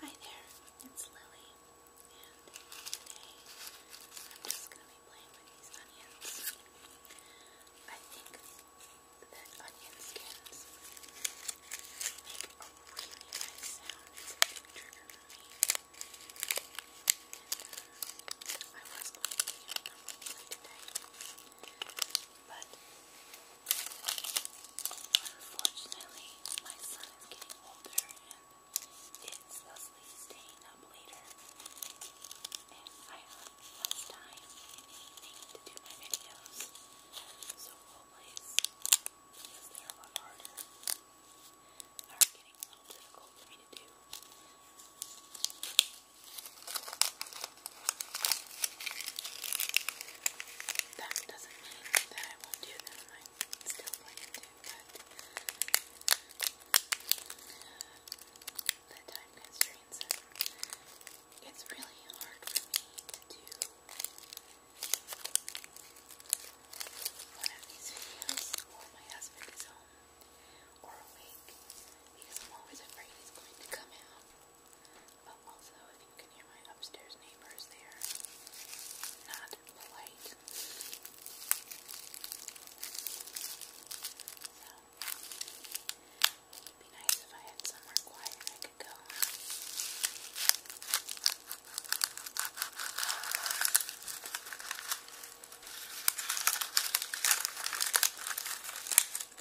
Hi there, it's Lily, and today I'm just going to be playing with these onions. I think that onion skins make really nice sound. It's uh, I was going to be doing today. But unfortunately, my son is getting older and is thusly staying up later. And I have less time in the evening to do my videos. So roleplays, because they're a lot harder, are getting a little difficult for me to do. That doesn't mean that I won't do them. I'm still going to, but the time constraints and it's really hard for me to do one of these videos while my husband is home or a because I'm always afraid he's going to come out. But also, if you can hear my upstairs neighbors, they are not polite. So, it would be nice if I had somewhere quiet I could go.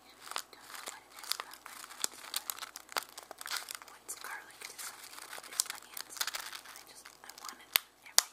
Don't know what it is about onions, but what's garlic to some people is onions. I just, I want it everything. I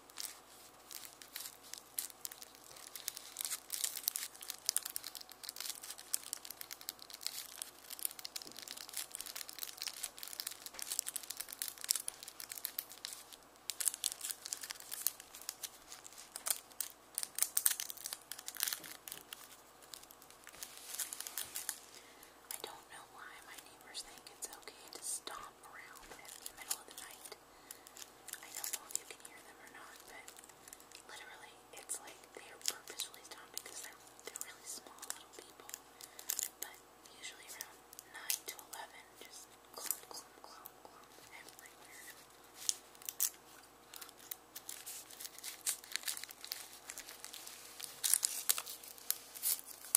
I don't know why my neighbors think it's okay to stomp hop around in the middle of the night. I don't know if you can hear them or not, but literally, it's like they are purposefully down because they're they're really small little people. But usually around nine to eleven, just clump, clump, clump, clump everywhere.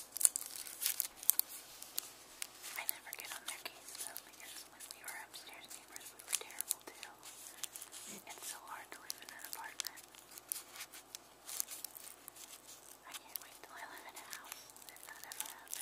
I never get on their case though when we were upstairs we were terrible too. It's so hard to live in an apartment. I can't wait till I live in a house that ever happens.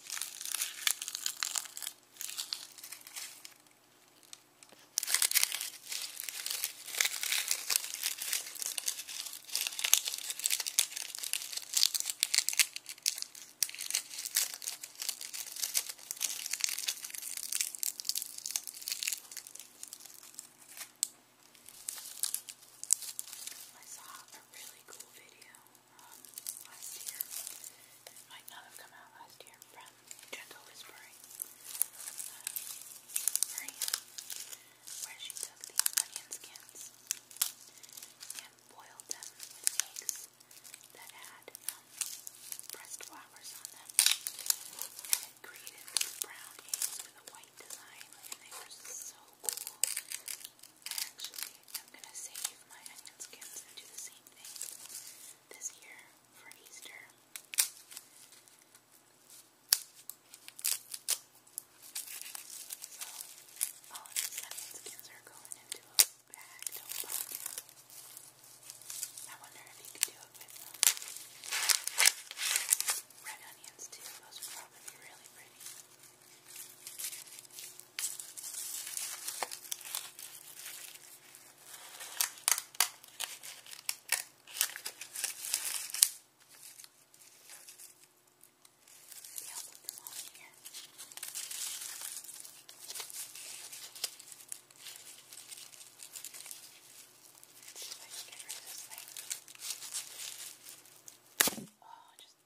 I saw a really cool video um, last year. It might not have come out last year from Gentle Whispering. Um, Maria, where she took the onion skins and boiled them with eggs that had um, pressed flowers on them. And it created these brown eggs with a white design, and they were so cool actually am going to save my onion skins and do the same thing this year for Easter. So, all of these onion skins are going into a bag, I wonder if you could do it with um, Red onions too, those would probably be really pretty. See, I'll put them all here. Let's see if I can get rid of this thing. Oh, just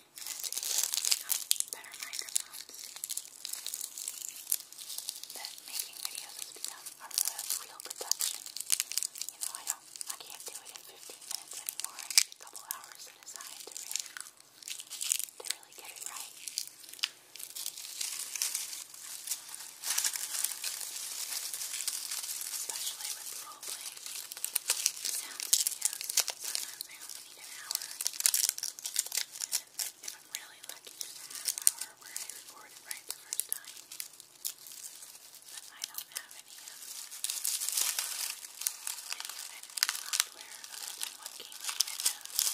become better microphones. That making videos has become a real production. You know, I don't, I can't do it in 15 minutes anymore. I need a couple hours set aside to really, to really get it right. Especially with role playing sounds videos. Sometimes I only need an hour. And if I'm really lucky, just a half hour where I record it right the first time. But I don't have any, um, any editing software other than what came with Windows. So, I don't know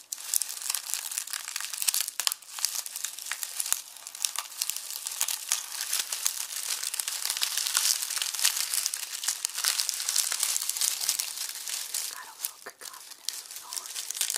He's got a little cacophonous with all of his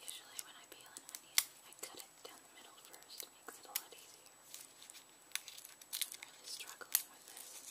Usually when I peel an onion, I cut it down the middle first. It makes it a lot easier. I'm really struggling with this. I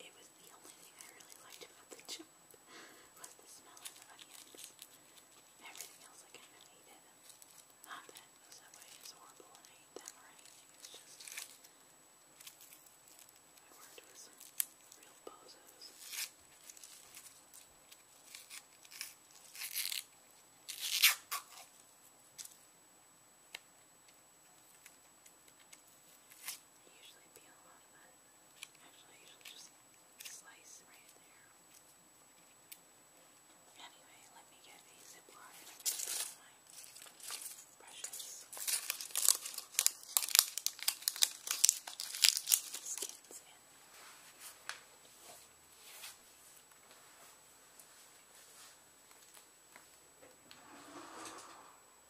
It was the only thing I really liked about the job was the smell of the onions. Everything else I kind of hated. Not that the subway is horrible and I hate them or anything. It's just I worked with some real bozos. I usually peel off that. Actually, I usually just slice right there. Anyway, let me get a Ziploc and I'm going to put my brushes. Skins in. Okay.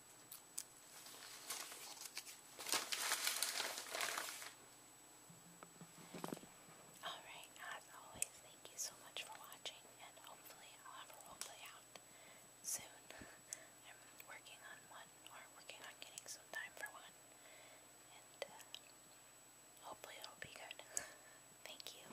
Alright, as always, thank you so much for watching, and hopefully I'll have a roleplay out soon. I'm working on one, or working on getting some time for one, and uh, hopefully it'll be good. thank you.